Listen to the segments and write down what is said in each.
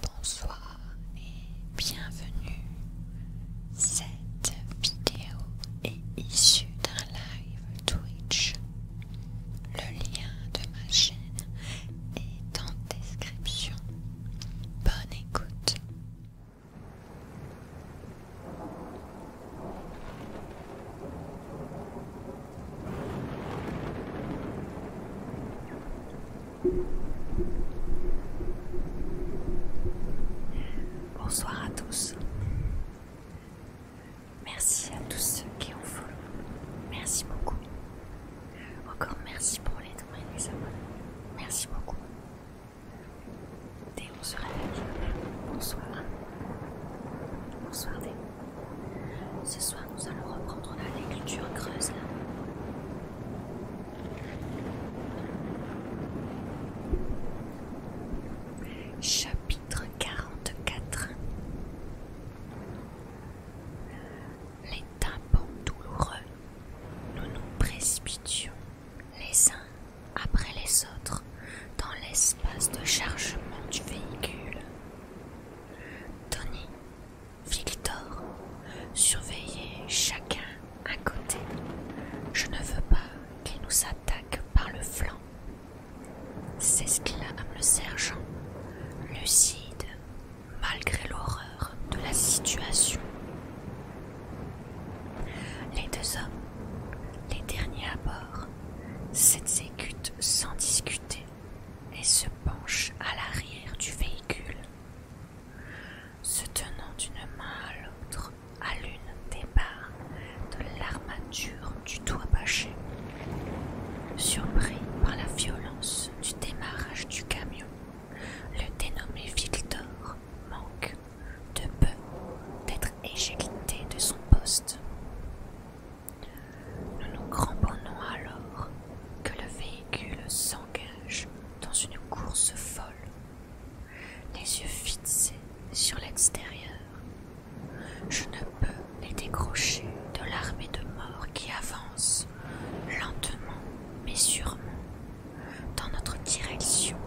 Bonsoir et bienvenue. Cette vidéo est issue d'un live Twitch. Le lien de ma chaîne est en description. Bonne écoute. Bonsoir à tous. Merci à tous ceux qui ont follow. Merci beaucoup. Encore merci pour les dons et les abonnés. Merci beaucoup. Déon se réveille. Bonsoir. Bonsoir Déon. Ce soir, nous allons reprendre la lecture creuse là. Chapitre 44 Les tympans douloureux, nous nous précipitions les uns après les autres dans l'espace de chargement du véhicule. Tony Victor surveillez chacun à côté. Je ne veux pas qu'il nous attaque par le flanc. S'exclame le sergent, lucide malgré l'horreur de la situation. Les deux hommes, les derniers à bord, s'exécutent sans discuter et se penchent à l'arrière du véhicule se tenant d'une main à l'autre à l'une des barres de l'armature du toit bâché. Surpris par la violence du démarrage du camion, le dénommé Victor manque de peu d'être éjecté de son poste. Nous nous cramponnons alors que le véhicule s'engage dans une course folle, les yeux fixés sur l'extérieur. Je ne peux les décrocher de l'armée de morts qui avance lentement mais sûrement dans notre direction.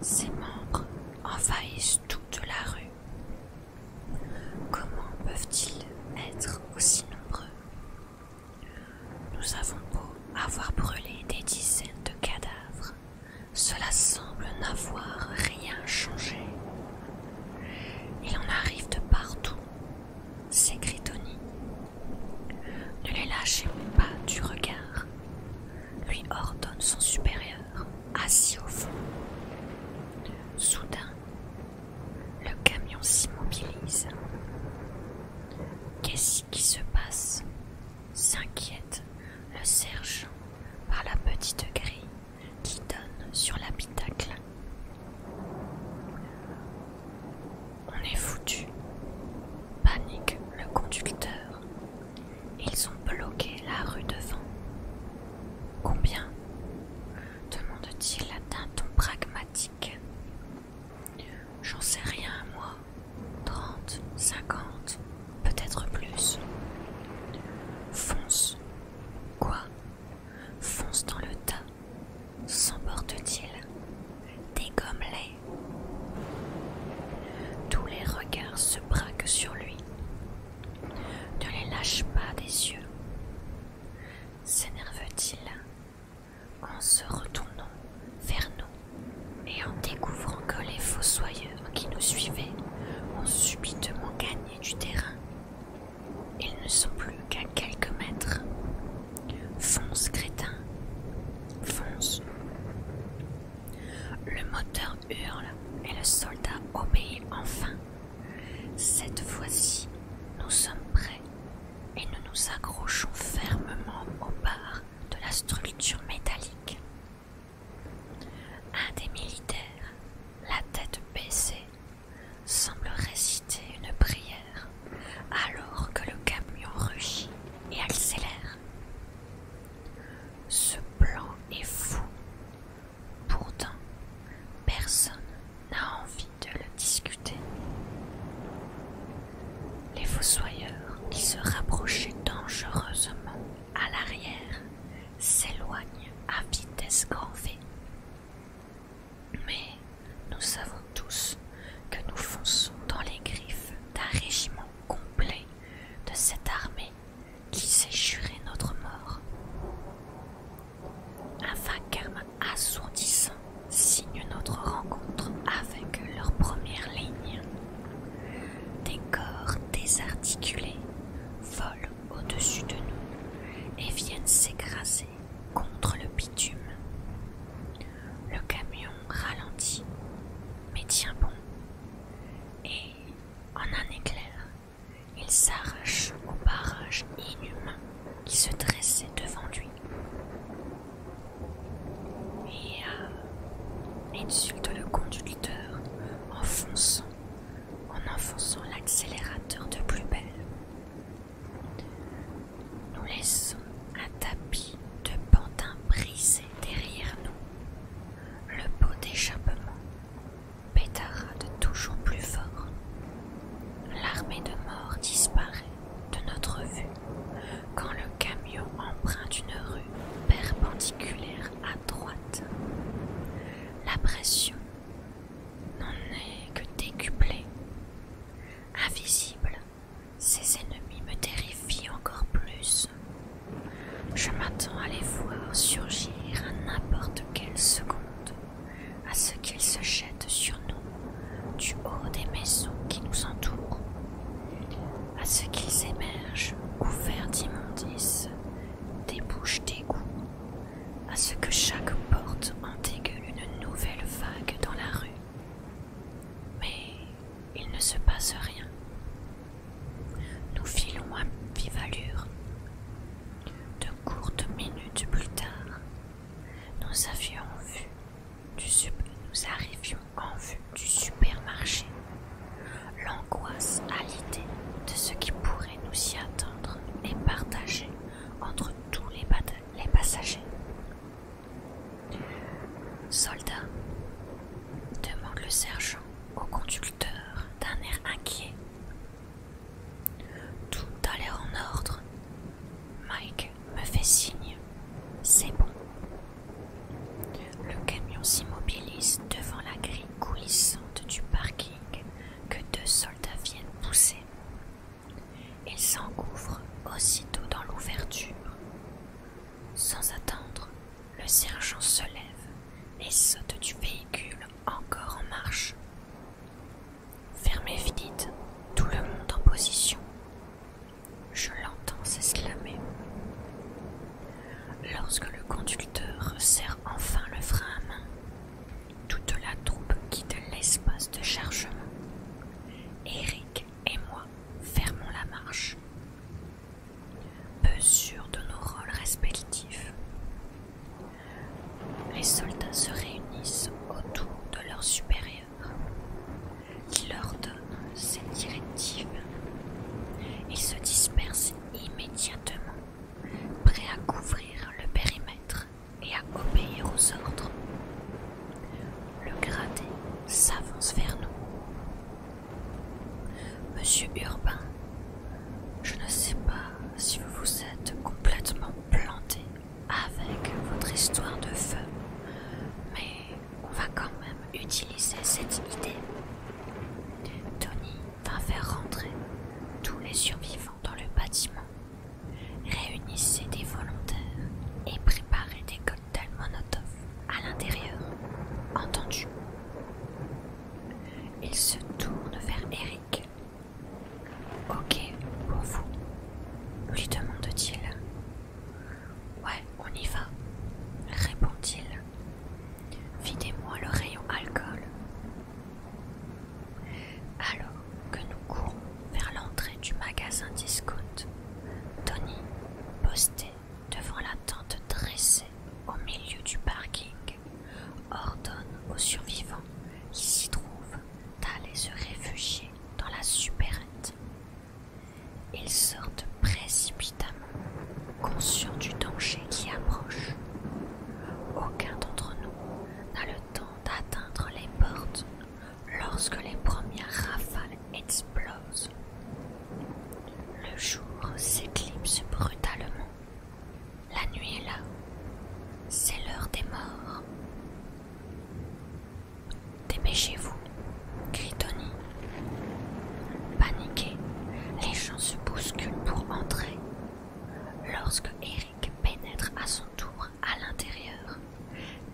Ses membres envahissent toute la rue. Comment peuvent-ils être aussi nombreux nous avons beau avoir brûlé des dizaines de cadavres, cela semble n'avoir rien changé. Il en arrive de partout, s'écrit Tony. Ne les lâchez pas du regard, lui ordonne son supérieur, assis au fond. Soudain, le camion s'immobilise. Qu'est-ce qui se passe s'inquiète le sergent par la petite grille qui donne sur l'habitacle. On est foutu, panique le conducteur. Ils ont bloqué la rue devant. Combien demande-t-il d'un ton pragmatique. J'en sais rien, moi. 30, 50, peut-être plus. Fonce. Quoi Fonce dans le tas. S'emporte-t-il Dégomme-les. Tous les regards se braquent sur lui. Ne les lâche pas des yeux. S'énerve-t-il en se retournant vers nous et en découvrant que les fossoyeurs qui nous suivaient ont subitement gagné du terrain. Ils ne sont plus qu'à quelques mètres. Fonce, crétin. Fonce. Le moteur hurle et le soldat obéit enfin. Cette fois-ci, nous sommes prêts et nous nous accrochons fermement au bar de la structure métallique. Un des militaires, la tête baissée, semble réciter une prière alors que le camion rugit et accélère. Ce plan est fou. Pourtant, personne n'a envie de le discuter. Les fossoyeurs, qui se rapprochaient dangereusement à l'arrière, s'éloignent à vitesse grand Mais nous savons tous que nous fonçons dans les griffes d'un régiment complet de cette armée qui s'est juré notre mort. Un vacarme assourdissant signe notre rencontre avec leur première ligne. Des corps désarticulés volent au-dessus de nous et viennent s'écraser contre le bitume. Le camion ralentit, mais tient bon. Et, en un éclair, il s'arrache au barrage inhumain qui se dressait devant lui et euh, insulte le conducteur en en enfonçant l'accélérateur de plus belle. Nous laissons un tapis de pantin brisé derrière nous. Le pot d'échappement de toujours plus fort. L'armée de mort disparaît de notre vue quand le camion emprunte une rue perpendiculaire à droite. La pression n'en est que décuplée. Invisible, ses ennemis me terrifient encore plus. Je m'attends à les voir surgir à n'importe quelle seconde à ce qu'ils se jettent sur nous du haut des maisons qui nous entourent, à ce qu'ils émergent couverts d'immondices, des bouches d'égouts, à ce que chaque porte en une nouvelle vague dans la rue. Mais il ne se passe rien. Nous filons à vive allure. De courtes minutes plus tard, nous avions vu du nous arrivions en vue du supermarché. L'angoisse à l'idée de ce qui pourrait nous y attendre est partagée entre tous les, les passagers. Soldat, demande le sergent au conducteur d'un air inquiet. Tout allait en ordre. Mike me fait signe. C'est bon. Le camion s'immobilise devant la grille coulissante du parking que deux soldats viennent pousser. Ils s'engouffre aussitôt dans l'ouverture. Sans attendre, le sergent se lève et saute du véhicule encore en marche, Fermez vite, tout le monde en position. Je l'entends s'exclamer. Lorsque le conducteur serre enfin le frein à main, toute la troupe quitte l'espace de chargement. Eric et moi fermons la marche, peu de nos rôles respectifs. Les soldats se réunissent autour de leur supérieur. Il leur donne ses directives. Ils se dispersent immédiatement, prêts à couvrir le périmètre et à obéir aux ordres. Le gradé s'avance vers nous. Monsieur Urbain, je ne sais pas si vous vous êtes complètement planté avec votre histoire de feu, mais on va quand même utiliser cette idée. Tony va faire rentrer tous les survivants dans le bâtiment. Réunissez des volontaires et préparez des cocktails Monotov à l'intérieur. Entendu. Il se tourne vers Eric Ok pour vous lui demande-t-il. Ouais, on y va, répond-il. Videz-moi le rayon alcool. Alors que nous courons vers l'entrée du magasin discount, Tony, posté devant la tente dressée au milieu du parking, ordonne aux survivants qui s'y trouvent d'aller se réfugier dans la supérette. Ils sortent précipitamment, conscients du danger qui approche. Aucun d'entre nous n'a le temps d'atteindre les portes lorsque les premières rafales explosent. Le jour s'éclipse brutalement. La nuit est là. C'est l'heure des morts. Dépêchez-vous, crie Tony. Paniqué, les gens se bousculent pour entrer. Lorsque Eric pénètre à son tour à l'intérieur,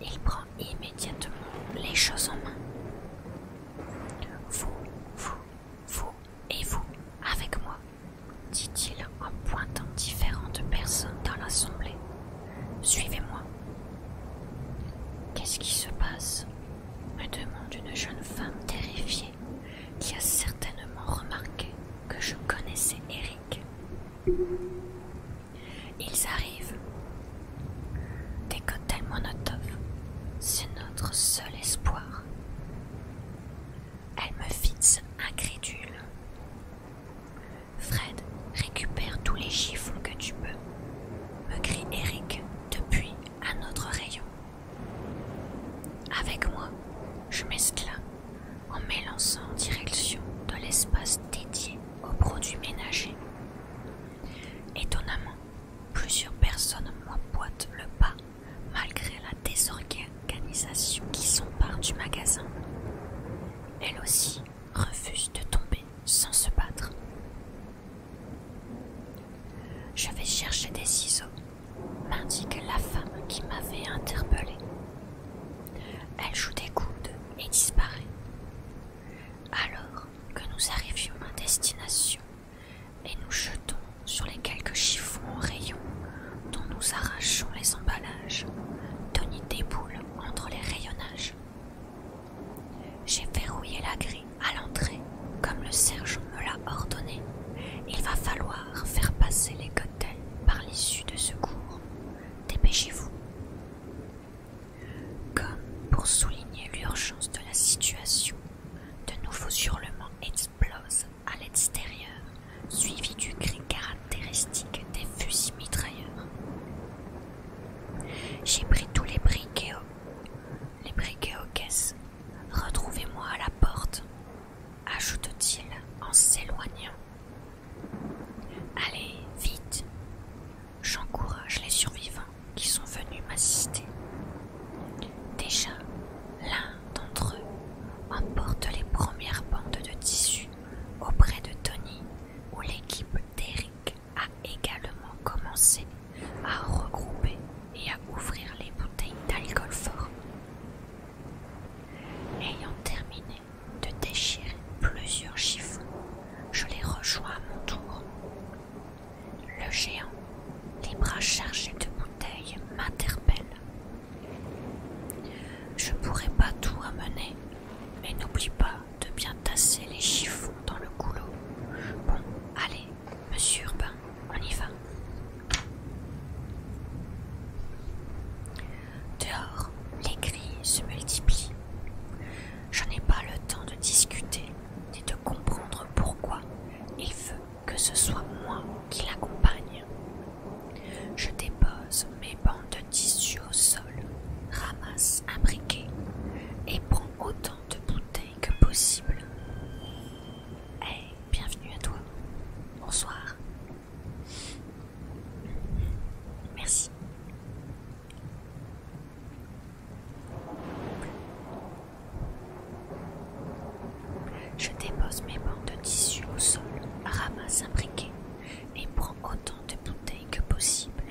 il prend immédiatement les choses en main. Vous, vous, vous et vous avec moi, dit-il en pointant différentes personnes dans l'assemblée. Suivez-moi. Qu'est-ce qui se passe me demande une jeune femme terrifiée qui a certainement remarqué que je connaissais Eric. Ils arrivent. Des cocktails monotones. c'est notre seul espoir. Elle me fixe incrédule. Fred, récupère tous les chiffons que tu peux, me crie Eric depuis un autre rayon. Avec moi, je m'esclame en m'élançant en direction de l'espace dédié aux produits ménagers. Étonnamment, plusieurs personnes m'emboîtent le pas malgré la désorganisation qui s'empare du magasin. Elle aussi refuse de tomber sans se battre. Je vais chercher des ciseaux, m'indique la femme qui m'avait interpellé. Elle joue des coudes et disparaît. Alors que nous arrivions à destination et nous jetons sur les quelques chiffons en rayon dont nous arrachons les emballages, Tony déboule entre les rayonnages. J'ai verrouillé la grille à l'entrée, comme le sergent me l'a ordonné. Il va falloir faire passer les côtés par l'issue de secours. Dépêchez-vous. Comme pour souligner l'urgence de la situation, de nouveaux hurlements explosent à l'extérieur, suivi du cri des fusils mitrailleurs. J'ai pris tous les briquets, aux... les briquets aux caisses. Retrouvez-moi à la porte, ajoute-t-il en s'éloignant. Allez, vite. J'encourage les survivants qui sont venus m'assister. Déjà, l'un d'entre eux emporte les premières bandes de tissu auprès de Tony, où l'équipe d'Eric a également commencé à regrouper et à ouvrir les bouteilles d'alcool fort. Ayant terminé de déchirer plusieurs chiffons, je les rejoins à mon tour. Le géant, les bras chargés de bouteilles, m'interpelle. Je pourrais pas tout amener mais n'oublie pas de bien tasser les chiffons dans le goulot. Bon, allez, monsieur Urbain, on y va. Dehors, les cris se multiplient. Je n'ai pas le temps de discuter ni de comprendre pourquoi il veut que ce soit moi qui l'accompagne. Je dépose mes bandes de tissu au sol, ramasse un et prends autant de bouteilles que possible. Eh, bienvenue à toi. Bonsoir. Merci. Je dépose mes bandes de tissu au sol, ramasse un briquet et prends autant de bouteilles que possible.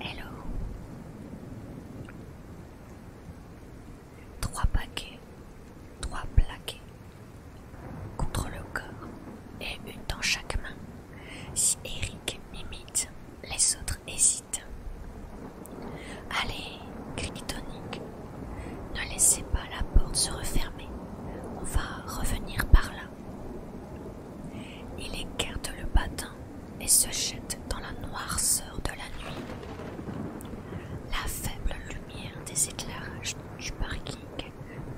Hello. Trois paquets, trois plaquets contre le corps et une dans chaque main. Si Eric imite, les autres hésitent. Allez, crie ne laissez pas la porte se refermer. On va revenir par là. Il écarte le bâton et se jette dans la noirceur de la nuit. La faible lumière des éclairages du parking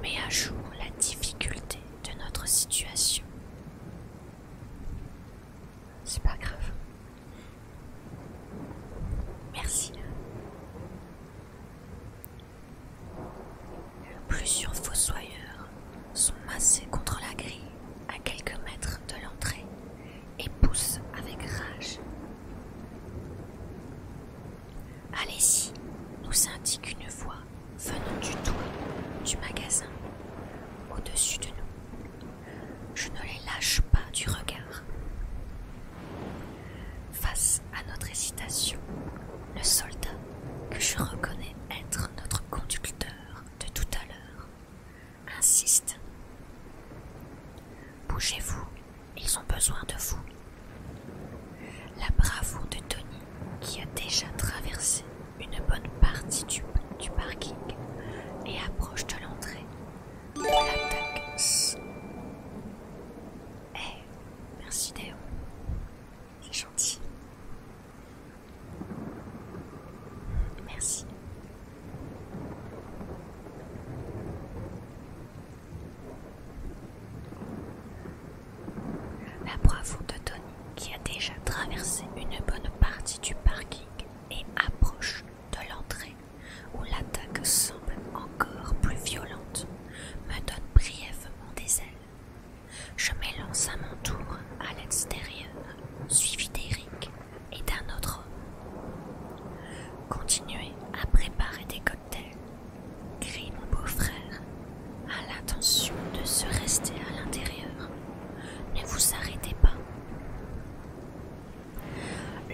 met à jour la difficulté de notre situation. C'est pas grave. Merci. Plusieurs fossoyeurs sont massés contre la grille à quelques mètres de l'entrée et poussent avec rage. Allez-y, nous indique une voix venant du toit du magasin au-dessus de nous. Je ne les lâche pas du regard. Face à notre hésitation, le soldat, que je reconnais être notre conducteur de tout à l'heure. Insiste. Bougez-vous, ils ont besoin de vous. La bravoure de Tony, qui a déjà traversé une bonne partie du, parking et approche de l'entrée, l'attaque. Eh, merci Déo. C'est gentil. Merci. La bravoure de Tony, qui a déjà traversé une bonne partie du parking et approche de l'entrée où l'attaque semble encore plus violente, me donne brièvement des ailes. Je m'élance à mon tour à l'extérieur, suivi d'Eric et d'un autre homme. Continuez à préparer des cocktails, crie mon beau-frère, à l'intention de se rester à l'intérieur. Ne vous arrêtez pas.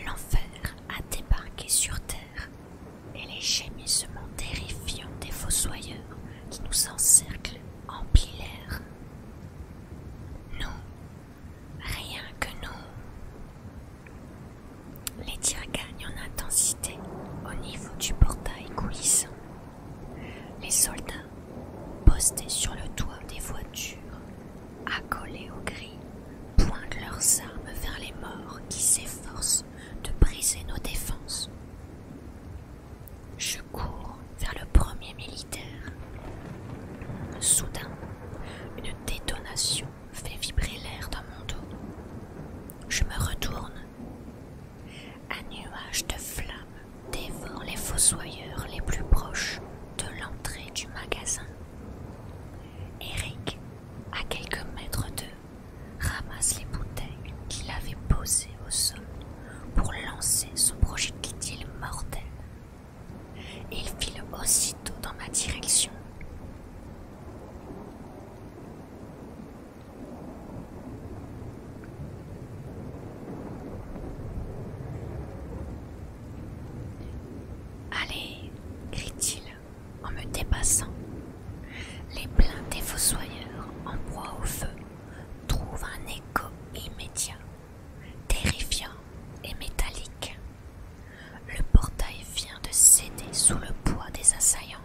L'enfer a débarqué sur Terre et les gémissements terrifiants des fossoyeurs qui nous encerclent en l'air. Nous, rien que nous. Les tirs gagnent en intensité au niveau du portail coulissant. Les soldats, postés sur le toit des voitures, accolés au gris, pointent leurs armes vers les morts qui s'efforcent de briser nos défenses. Je cours vers le premier militaire. Soudain, une détonation fait vibrer l'air dans mon dos. Je me retourne. Un nuage de flammes dévore les fossoyeurs les plus proches de l'entrée du magasin. Eric, à quelques mètres d'eux, ramasse les bouteilles qu'il avait posées au sol pour lancer son projectile mortel. Et Il file aussitôt dans ma direction. Allez, crie-t-il en me dépassant les plaintes des fossoyeurs en proie au feu trouvent un écho immédiat, terrifiant et métallique. Le portail vient de céder sous le poids des assaillants.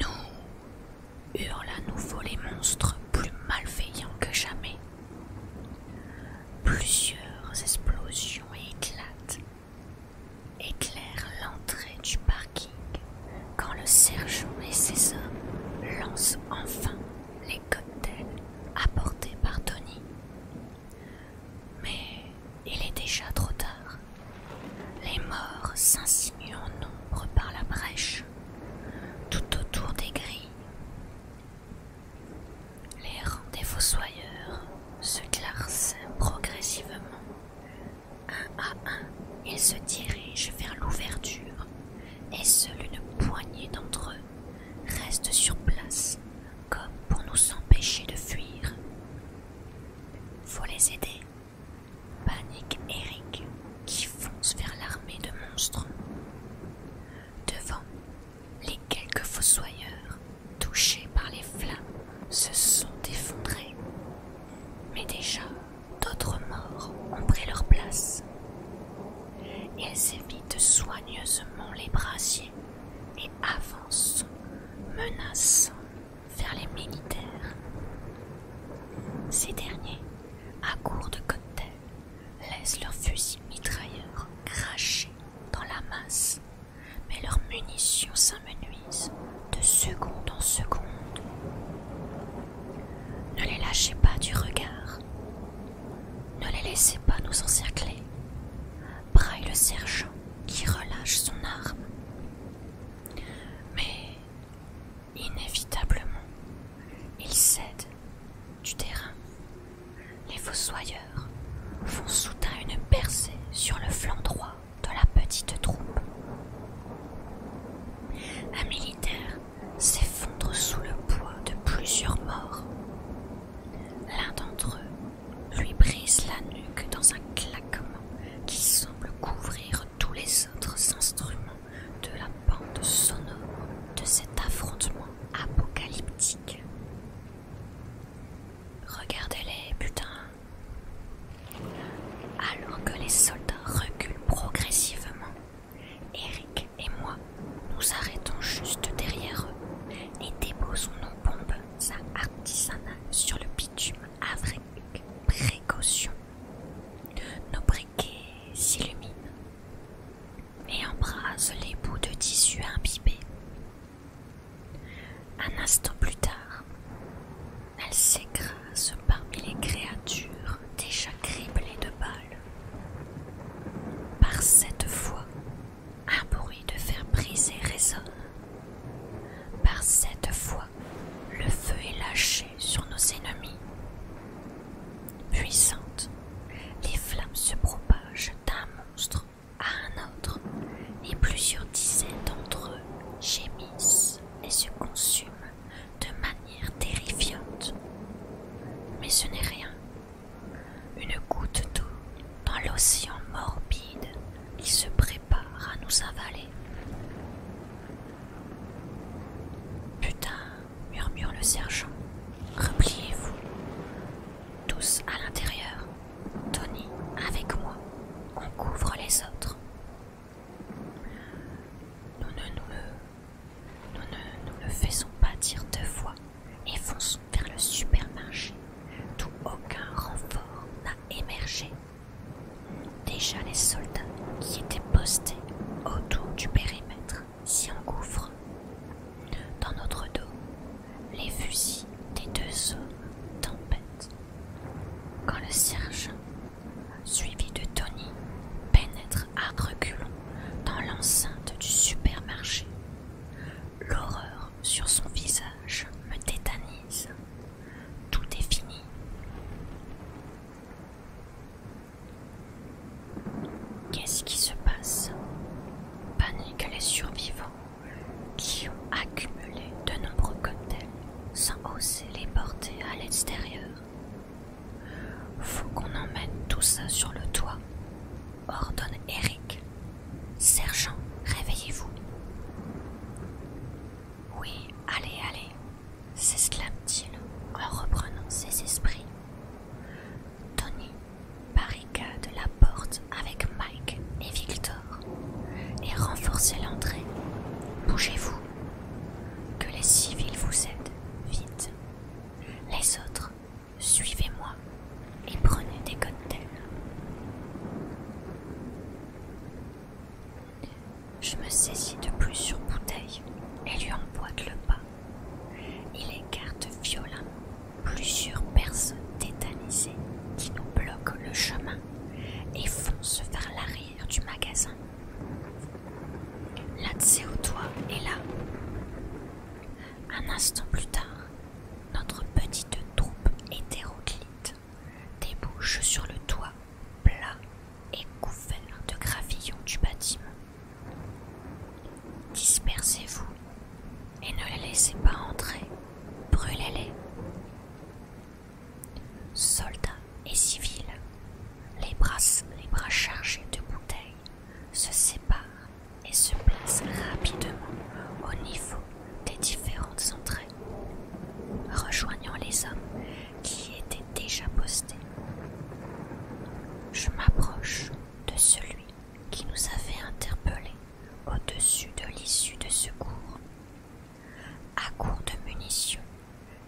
Nous hurlent à nouveau les monstres plus malveillants que jamais. Plusieurs explosions éclatent éclaire l'entrée du parking quand le sergent et ses hommes lancent enfin les cocktails apportés par Tony. Mais il est déjà trop tard. Les morts s'insinuent en nombre par la brèche, tout autour des grilles. Les rangs des fossoyeurs se classent progressivement un à un, ils se dirigent vers l'ouverture, et seule une poignée d'entre eux reste sur place, comme pour nous empêcher de fuir. Faut les aider, panique Eric, qui fonce vers l'armée de monstres. Devant, les quelques fossoyeurs, touchés par les flammes, se sont effondrés. Mais déjà, d'autres morts ont pris leur place. Elles évitent soigneusement les brasiers et avancent, menaçant, vers les militaires. Ces derniers, à court de cocktail, laissent leurs fusils mitrailleurs cracher dans la masse, mais leurs munitions nuisent de seconde en seconde. Ne les lâchez pas du regard. Ne les laissez pas nous encercler. Braille le sergent qui relâche son arme. Mais inévitablement, il cède du terrain. Les fossoyeurs font soudain une percée sur le flanc droit de la petite troupe. Un militaire s'effondre sous le poids de plusieurs morts. L'un d'entre eux lui brise la nuque dans un claquement qui semble couvrir tous les autres instruments de la bande sonore de cet affrontement apocalyptique. Regardez-les, putain, alors que les soldats reculent progressivement, Eric et moi nous arrêtons juste derrière eux et déposons nos bombes à artisanales sur le bitume avec précaution. Nos briquets s'illuminent et embrasent les bouts de tissu imbibé. Un instant plus tard, elle s'écrase parmi les créatures déjà criblées de balles. Par cette fois, un bruit de fer brisé résonne. Par cette fois, le feu est lâché sur nos ennemis. Puissantes, les flammes se propagent d'un monstre à un autre, et plusieurs dizaines d'entre eux gémissent et se consument de manière terrifiante. Mais ce n'est rien. Une goutte d'eau dans l'océan morbide qui se prépare à nous avaler. Putain, murmure le sergent, repliez-vous. Tous à l'intérieur. Tony, avec moi, on couvre les autres. Nous ne nous le, faisons pas dire deux fois et fonçons vers le supermarché d'où aucun renfort n'a émergé. Déjà les soldats qui étaient postés autour du périmètre s'y engouffrent. Dans notre dos, les fusils des deux hommes tempêtent quand le sergent, suivi de Tony, pénètre à reculons dans l'enceinte du supermarché, l'horreur sur son visage me tétanise. Tout est fini. Qu'est-ce qui se passe Paniquent les survivants qui ont accumulé de nombreux cocktails sans hausser les portées à l'extérieur. Faut qu'on emmène tout ça sur le toit, ordonne Eric. Sergent, réveillez-vous. Oui, allez, allez, s'exclame-t-il en reprenant ses esprits. Tony barricade la porte avec Mike et Victor et renforcez l'entrée. Bougez-vous. Que les civils vous aident, vite. Les autres, suivez-moi et prenez des cocktails. Je me saisis de plusieurs bouteilles et lui emboîte le pas. Il écarte violemment plusieurs personnes tétanisées qui nous bloquent le chemin et fonce vers l'arrière du magasin. L'accès au toit est là. Un instant plus tard, notre petite troupe hétéroclite débouche sur le toit plat et couvert de gravillons du bâtiment. Dispersez-vous et ne les laissez pas entrer. Brûlez-les. Soldats et civils, les bras, les bras chargés de bouteilles, se séparent et se placent rapidement au niveau des différentes entrées, rejoignant les hommes qui étaient déjà postés. Je m'approche de celui qui nous avait interpellés au-dessus de l'issue de secours à court de munitions,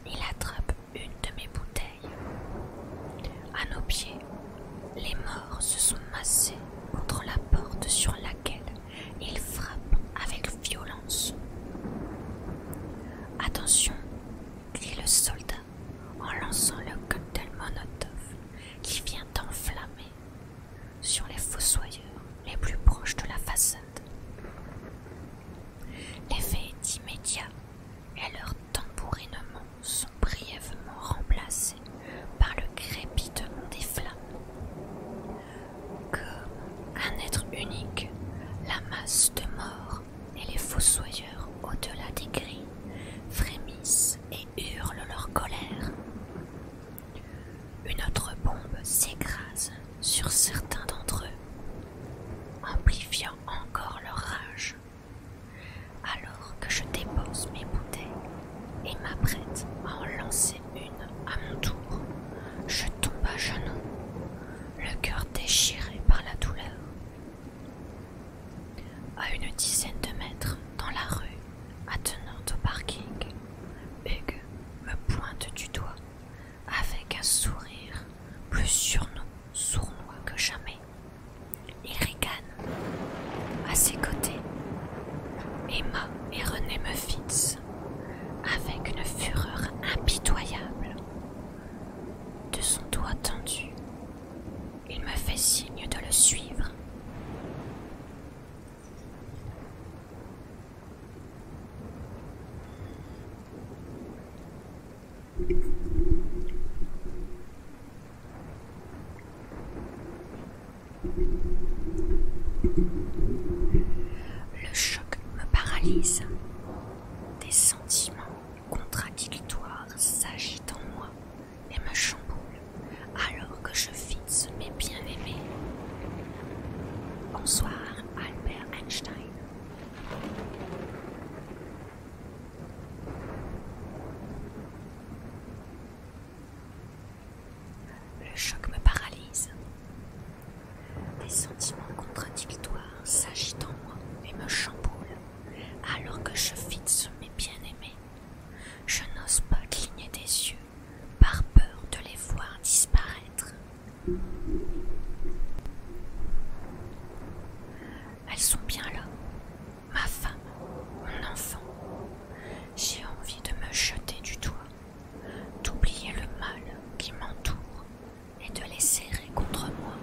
il attrape une de mes bouteilles. À nos pieds, les morts se sont massés contre la porte sur laquelle il frappe avec violence. Attention, crie le soldat en lançant le cocktail Monotov qui vient d'enflammer sur les fossoyeurs les plus proches de la façade. L'effet est immédiat et leur tambourinements sont brièvement remplacés par le crépitement des flammes. Comme un être unique, la masse de morts et les fossoyeurs au-delà des grilles frémissent et hurlent leur colère. Une autre bombe s'écrase sur certains d'entre eux, amplifiant encore leur rage. Alors que je dépose mes bouteilles et m'apprête à en lancer une à mon tour, je tombe à genoux, le cœur déchiré par la douleur. À une dizaine de mètres dans la rue, attenante au parking, Hugues me pointe du doigt avec un sourire plus surnom, sournois que jamais. Il ricane. À ses côtés, Emma et René me fixent avec une fureur impitoyable. De son doigt tendu, il me fait signe de le suivre. Le choc me paralyse. Des sentiments contradictoires s'agitent en moi et me chamboulent alors que je fixe mes bien-aimés. Bonsoir Albert Einstein. Le choc me paralyse. Des sentiments contradictoires s'agitent en moi et me chamboulent alors que je fixe mes bien-aimés. Je n'ose pas cligner des yeux par peur de les voir disparaître. Elles sont bien là. Ma femme, mon enfant. J'ai envie de me jeter du toit, d'oublier le mal qui m'entoure et de les serrer contre moi,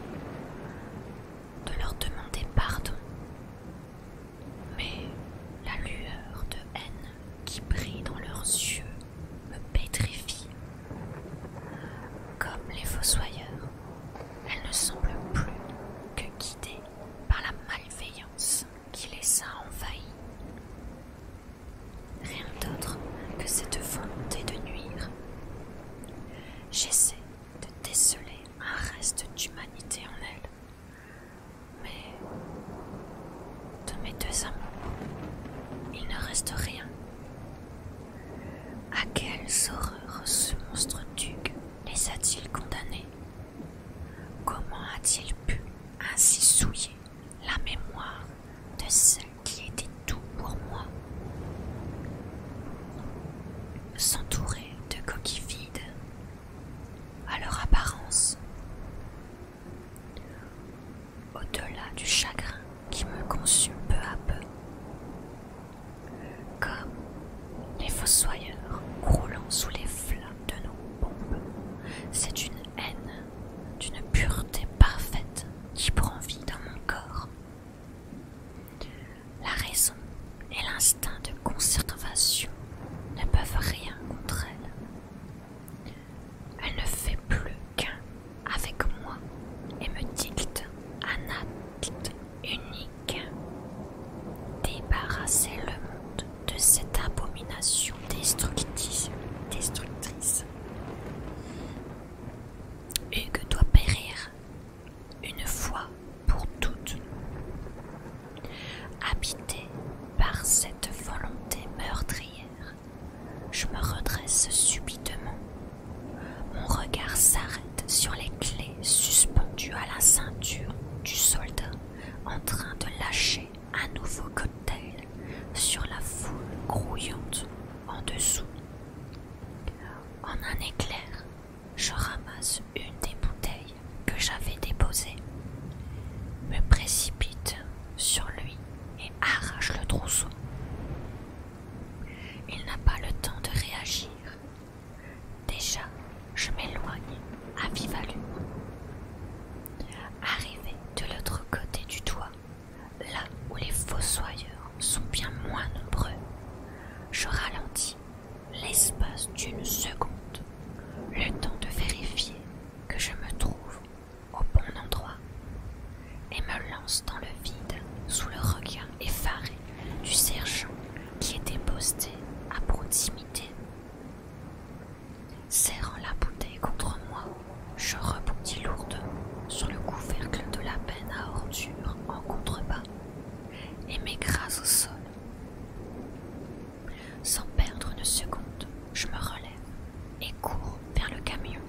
de leur demander pardon. Mais la lueur de haine qui brille dans leurs yeux me pétrifie. Comme les fossoyeurs, Elle ne semble plus que guidées par la malveillance qui les a envahies. Rien d'autre que cette volonté de nuire. J'essaie de déceler un reste d'humanité en elle, mais de mes deux amours, il ne reste rien. À quelles horreurs ce monstre duc les a-t-il condamnés Comment a-t-il pu ainsi souiller la mémoire de celle qui était tout pour moi S'entourer de coquilles vides à leur apparence au-delà du chagrin qui me consume peu à peu. Comme les fossoyeurs croulant sous les flammes de nos bombes, c'est une haine d'une pureté parfaite qui prend vie dans mon corps. La raison et l'instinct de conservation ne peuvent rien contre elle. Elle ne fait plus avec moi et me dicte un acte unique. Débarrasser le monde de cette abomination destructrice. destructrice. Hugues doit périr une fois pour toutes. Habité par cette volonté meurtrière, je me redresse subitement. Mon regard s'arrête sur les clés suspendues à la ceinture du soldat en train de lâcher un nouveau cocktail sur la foule grouillante en dessous. En un éclair, je ramasse une des bouteilles que j'avais déposées, me précipite sur lui et arrache le trousseau. Il n'a pas le temps de réagir. Déjà, je m'éloigne à vive allure. Arrivé de l'autre côté du toit, là où les fossoyeurs sont bien moins nombreux, je ralentis l'espace d'une seconde, le temps de vérifier que je me trouve au bon endroit et me lance dans le vide sous le regard effaré du sergent qui était posté à proximité. Serrant la bouteille contre moi, je rebondis lourdement sur le couvercle de la peine à ordures en contrebas et m'écrase au sol. Sans perdre une seconde, je me relève et cours vers le camion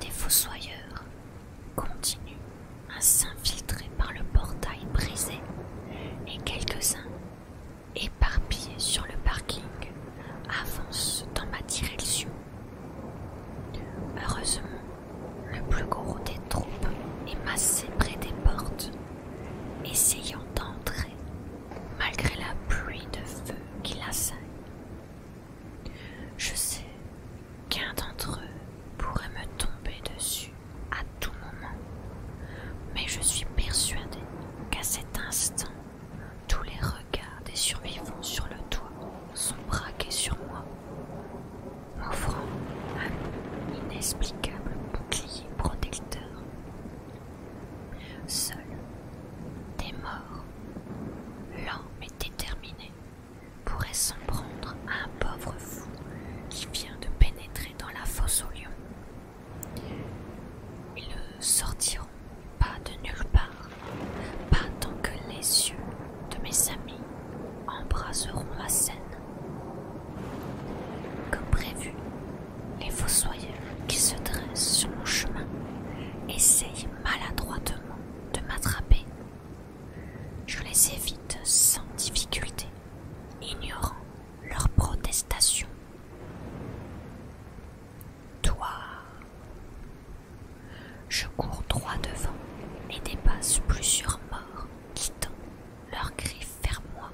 des fossoyeurs continuent à s'infiltrer par le portail brisé et quelques-uns, éparpillés sur le parking, avancent dans ma direction. Heureusement, le plus gros des troupes est massé près des portes, essayant d'entrer malgré la pluie de feu qui l'assaille. Je sais qu'un d'entre eux pourrait me tomber dessus à tout moment, mais je suis persuadée qu'à cet instant, tous les regards des survivants sur le toit sont braqués sur moi, m'offrant un inexplicable bouclier protecteur. Seul, des morts, mais déterminé pourrait s'en prendre à un pauvre fou qui vient de pénétrer dans la fosse aux lions. Ils ne sortiront pas de nulle part, pas tant que les yeux de mes amis embraseront la scène. Comme prévu, les fossoyeurs qui se dressent sur mon chemin essayent maladroitement de m'attraper. Je les évite sans difficulté, ignorant leurs protestations. Toi, je cours droit devant et dépasse plusieurs morts, quittant leurs griffes vers moi.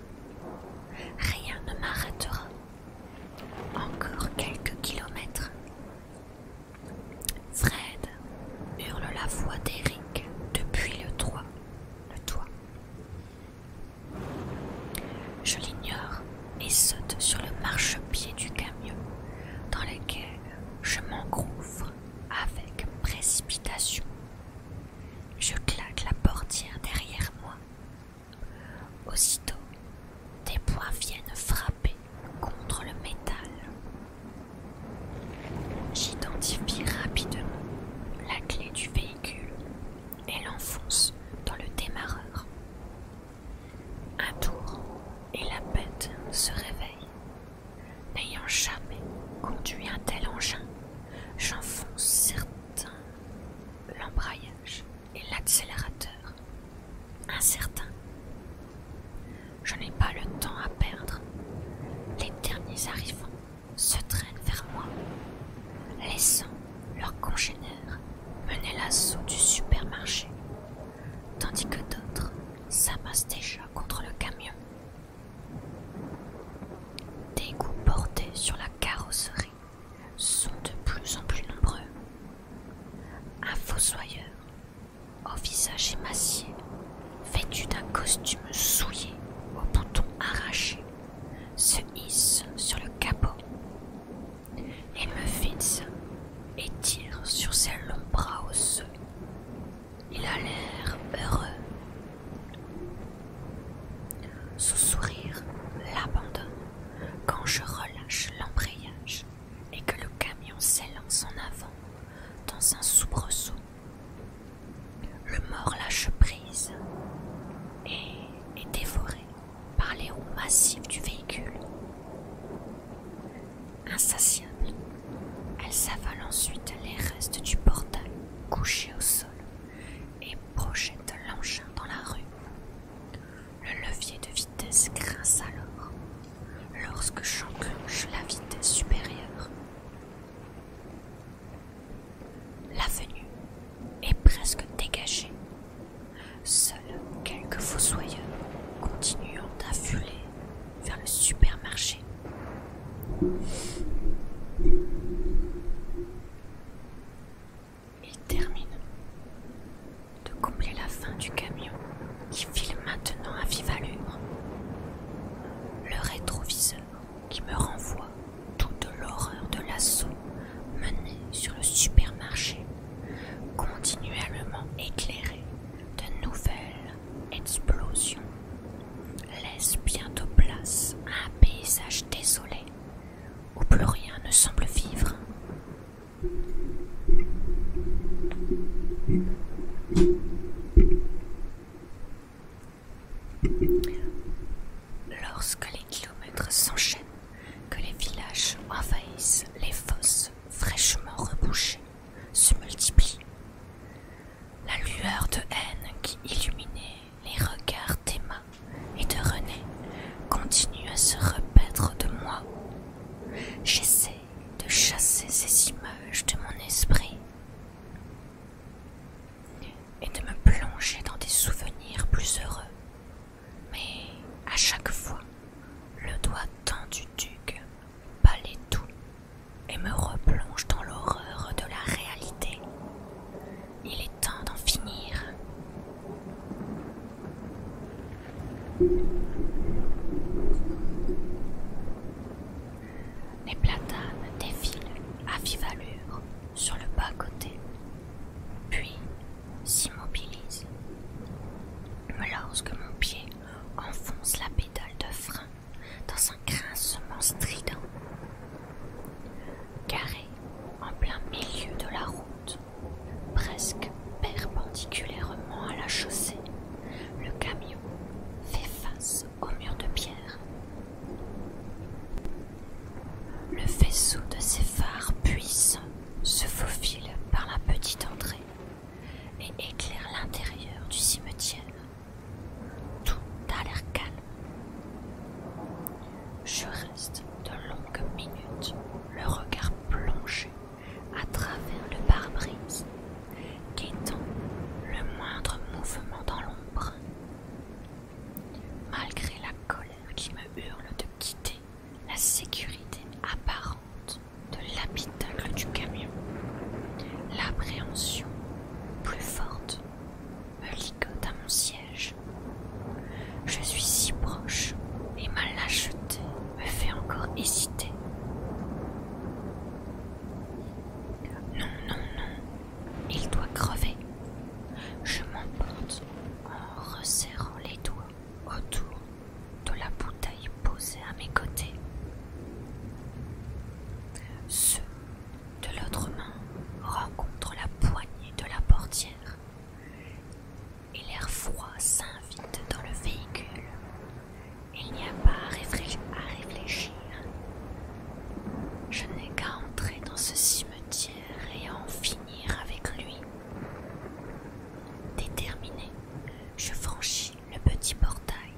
Rien ne m'arrêtera. Encore quelques kilomètres. Fred hurle la voix d'Eric depuis le toit. Le toit. Je l'ignore et saute sur le marchepied du camion dans lequel je m'engouffre avec précipitation. Je claque la portière derrière moi. Aussitôt, des poings viennent frapper contre le métal. J'identifie rapidement la clé du véhicule et l'enfonce dans le démarreur. Un tour et la bête se réveille. N'ayant jamais conduit un tel engin, j'enfonce certain l'embrayage et l'accélérateur, incertain. Je n'ai pas le temps à perdre. Les derniers arrivants se traînent vers moi, laissant leurs congénères mener l'assaut du supermarché, tandis que d'autres s'amassent déjà contre le camion. Des coups portés sur la carrosserie sont de plus en plus nombreux un fossoyeur, au visage émacié, vêtu d'un costume souillé, aux boutons arraché, se hisse sur le capot et me fixe et tire sur ses longs bras osseux. Il a l'air heureux. Son sourire l'abandonne quand je relâche l'embrayage et que le camion s'élance en avant dans un soubresaut. Le mort lâche prise et est dévoré par les roues massives du véhicule. Insatiable, elle s'avale ensuite les restes du portail couché au sol et projette l'engin dans la rue. Le levier de vitesse grince alors lorsque j'enclenche la vitesse supérieure. L'avenue est presque dégagée. Seuls quelques fossoyeurs continuent à vers le supermarché. Il termine de combler la fin du camion qui file maintenant à vive allure. Le rétroviseur qui me renvoie toute l'horreur de l'assaut mené sur le supermarché, continuellement éclairé de nouvelles explosions, laisse bientôt place à un paysage désolé où plus rien ne semble vivre. Lorsque les kilomètres s'enchaînent, que les villages envahissent les fosses fraîchement rebouchées, se multiplient. La lueur de haine qui illuminait les regards d'Emma et de René continue à se repaître de moi. J'essaie de chasser ces images de mon esprit et de me plonger dans des souvenirs plus heureux. Mais à chaque fois, le doigt tendu duc palait tout et me replonge dans l'horreur de la réalité. Il est temps d'en finir. Les platanes défilent à vive allure sur le bas-côté, puis s'immobilisent. Lorsque mon pied enfonce la pédale de frein dans un grincement strident, carré en plein milieu de la roue, presque perpendiculairement à la chaussée, le camion fait face au mur de pierre. Le faisceau de ses phares puissants se faufile par la petite entrée et éclaire l'intérieur du cimetière. Tout a l'air calme. Je reste de longues minutes, le regard plongé à travers le pare bris guettant le moindre mouvement dans l'ombre. Malgré la colère qui me hurle de quitter la sécurité apparente de l'habitacle du camion, l'appréhension plus forte me ligote à mon siège. Je suis si proche et mal lâcheté me fait encore hésiter. Non, non, non, il doit crever. Je m'emporte en resserrant les doigts autour de la bouteille posée à mes côtés. Ce de l'autre main rencontre la poignée de la portière et l'air froid s'invite dans le véhicule. Il n'y a pas à, réfléchir. Je n'ai qu'à entrer dans ce cimetière et en finir avec lui. Déterminé, je franchis le petit portail,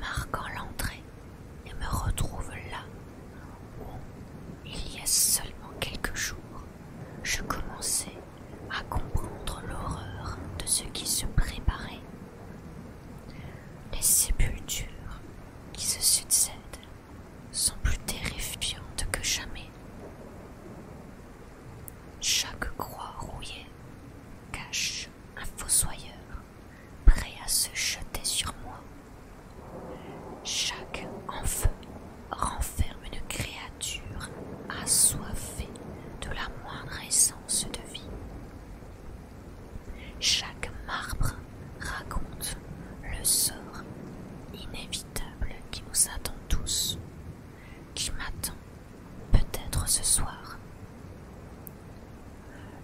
marquant l'entrée et me retrouve là où, il y a seulement quelques jours, je commençais à comprendre l'horreur de ce qui se préparait. Les sépultures qui se succèdent sont plus terrifiantes que jamais. Chaque croix rouillée cache un fossoyeur prêt à se jeter sur moi. Chaque en renferme une créature nature assoiffée de la moindre essence de vie. Chaque marbre raconte le sort inévitable qui nous attend tous, qui m'attend peut-être ce soir.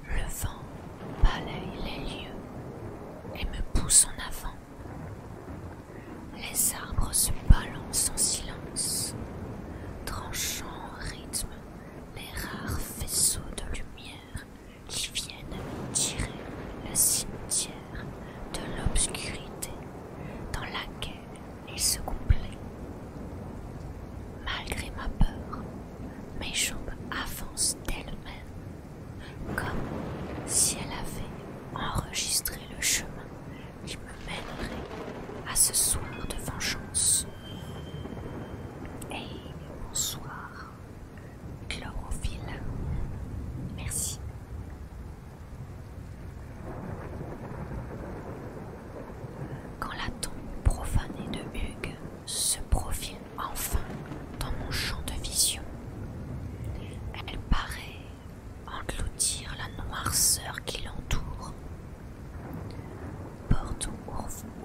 Le vent balaye les lieux et me pousse en avant. Les arbres se balancent en silence, tranchant en rythme les rares faisceaux de lumière qui viennent tirer le cimetière de l'obscurité dans laquelle il se complaît. Malgré ma peur, mes jambes avancent d'elles-mêmes, comme si elle avait enregistré le chemin je me mènerai à ce soir de vengeance. Hey, bonsoir, chlorophylle. Merci. Quand la tombe profanée de Hugues se profile enfin dans mon champ de vision, elle paraît engloutir la noirceur qui l'entoure. Porte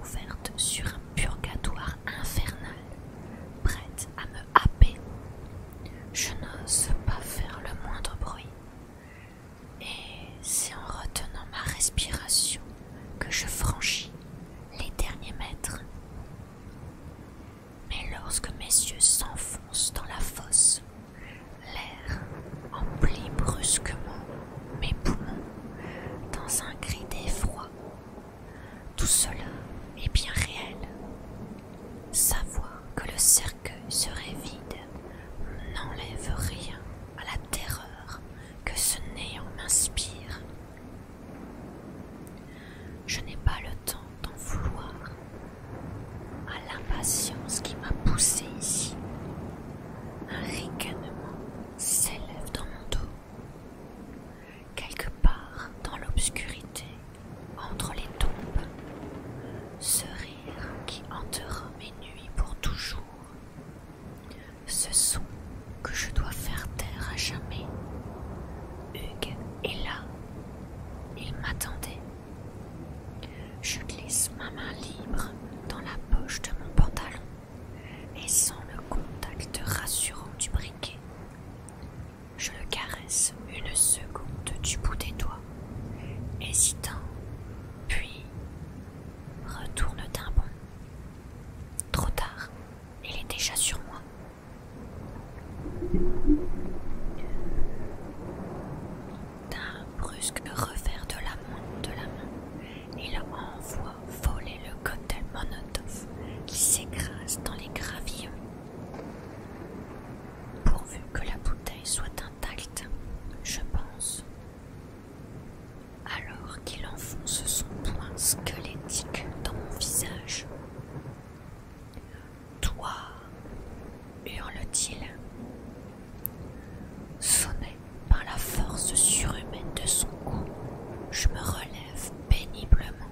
ouverte sur un purgatoire infernal, prête à me happer. Je n'ose pas faire le moindre bruit. Et c'est en retenant ma respiration que je franchis les derniers mètres. Mais lorsque mes yeux s'enfoncent dans la fosse, L'air emplit brusquement mes poumons dans un cri d'effroi. Tout cela est bien réel. Savoir que le cercueil serait vide n'enlève rien à la terreur que ce néant m'inspire. Je n'ai pas le temps d'en vouloir à l'impatience qui m'a poussé ici. Un ricanement s'élève dans mon dos. Quelque part dans l'obscurité, entre les tombes, ce rire qui hantera mes nuits pour toujours, ce son que je dois faire taire à jamais. Hugues est là, il m'attendait. Je glisse ma main libre dans la poche de mon pantalon et sans le contact rassurant du briquet. Je le caresse une seconde du bout des doigts, hésitant, puis retourne d'un bond. Trop tard, il est déjà sur moi brusque revers de la main, de la main et envoie voler le cocktail Monotov qui s'écrase dans les gravillons. Pourvu que la bouteille soit intacte, je pense. Alors qu'il enfonce son poing squelettique dans mon visage. Toi, hurle-t-il. Sonné par la force surhumaine de son coup, je me relève péniblement.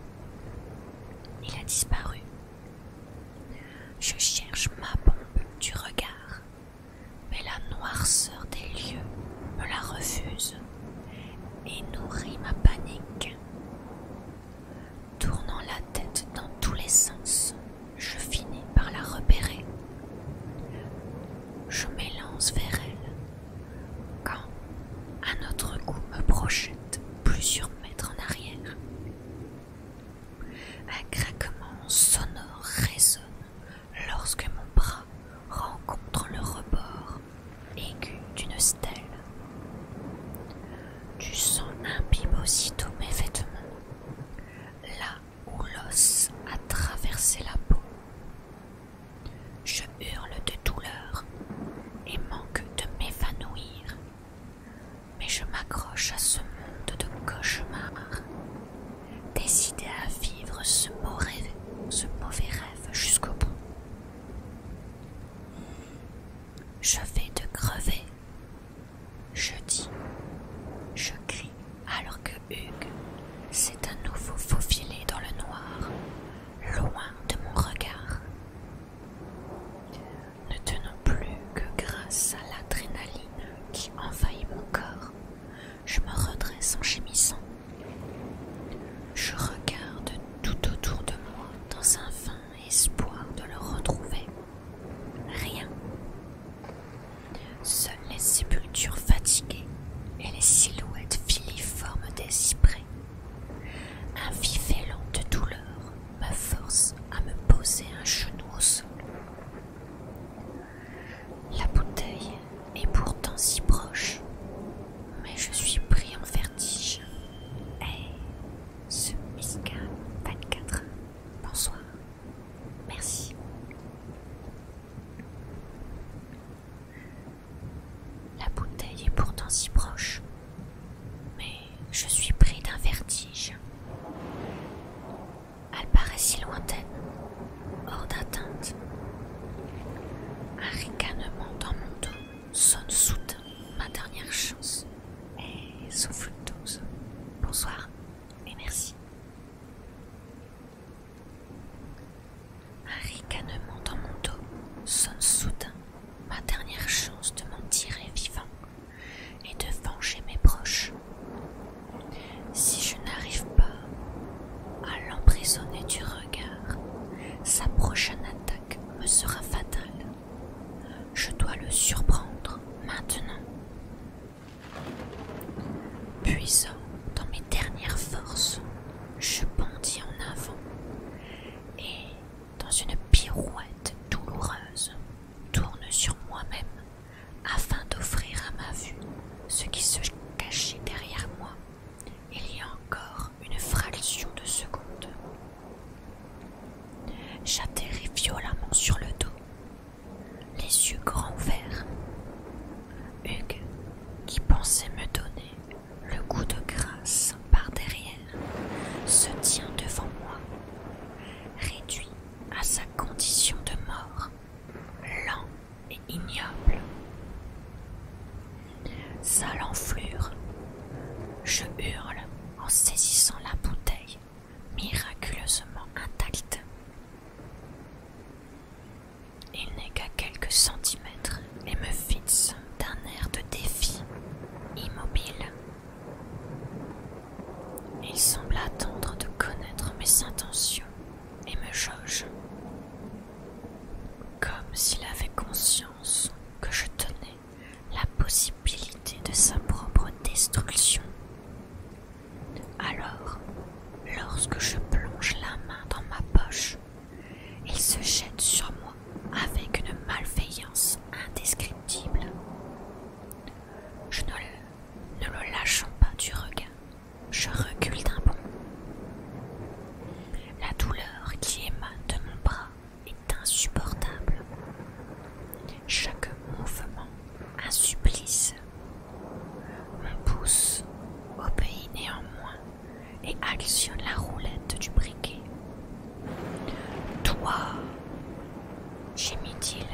Il a disparu. Je cherche ma bombe du regard, mais la noirceur des lieux me la refuse et nourrit ma panique. Tournant la tête dans tous les sens, je finis par la repérer. Je m'élance vers elle quand un autre coup me projette plusieurs mètres en arrière. Un craquement sonore résonne lorsque mon bras rencontre le rebord aigu d'une stèle. Du sang imbibe aussitôt mes vêtements où l'os a traversé la peau. Je hurle de douleur et manque de m'évanouir, mais je m'accroche à ce monde de cauchemars, décidé à vivre ce mauvais, ce mauvais rêve jusqu'au bout. Je vais te crever je dis, je crie alors que Hugues s'est à nouveau faufilé dans le noir, loin de mon regard. Ne tenant plus que grâce à l'adrénaline qui envahit mon corps, je me redresse en gémissant. Je regarde tout autour de moi dans un vain espoir de le retrouver. Rien. Seules les sépultures fatiguées et les silhouettes filiformes des cyprès. Un vif élan de douleur me force à me poser un genou au sol. La bouteille est pourtant si proche, mais je suis pris en vertige. Et ce pas 24, bonsoir. Merci. La bouteille est pourtant si proche, mais je suis pris d'un vertige. Elle paraît si lointaine, hors d'atteinte. Un ricanement dans mon dos sonne soudain ma dernière chance. Et souffle dose. Bonsoir. Et merci. Un ricanement dans mon dos sonne soudain ma dernière chance de m'en tirer vivant et de venger mes proches. Si je n'arrive pas à l'emprisonner du regard, sa prochaine attaque me sera fatale. Je dois le surprendre maintenant. Puisant dans mes dernières forces, je bondis en avant et, dans une pirouette douloureuse, tourne sur moi-même afin d'offrir à ma vue ce qui se cachait derrière moi. Il y a encore une fraction de seconde. J'atterris violemment sur le dos les yeux grands ouverts. Hugues, qui pensait me donner le goût de grâce par derrière, se tient devant moi, réduit à sa condition de mort, lent et ignoble. Sale enflure, je hurle en saisissant la bouteille miraculeusement intacte. Il n'est qu'à quelques centimètres et me fixe d'un air de défi, immobile. Il semble attendre de connaître mes intentions et me jauge, comme s'il avait conscience que je tenais la possibilité de sa propre destruction alors, lorsque je plonge la main dans ma poche, il se jette sur moi avec une malveillance indescriptible. Je ne le, ne pas du regain, je recule d'un bond. La douleur qui émane de mon bras est insupportable. Chaque mouvement, un un pouce obéit néanmoins, et actionne la roulette du briquet. Toi, gémit-il,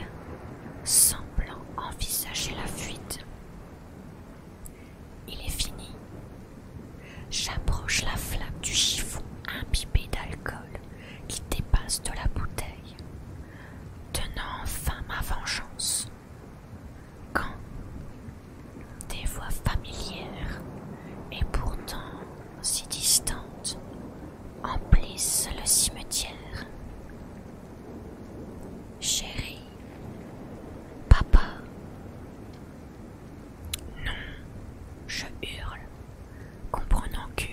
semblant envisager la fuite. Il est fini. J'approche la flaque du chiffon imbibé d'alcool qui dépasse de la bouteille tenant enfin ma vengeance, quand des voix familières et pourtant si distantes emplissent le cimetière. Chérie, papa, non, je hurle, comprenant que.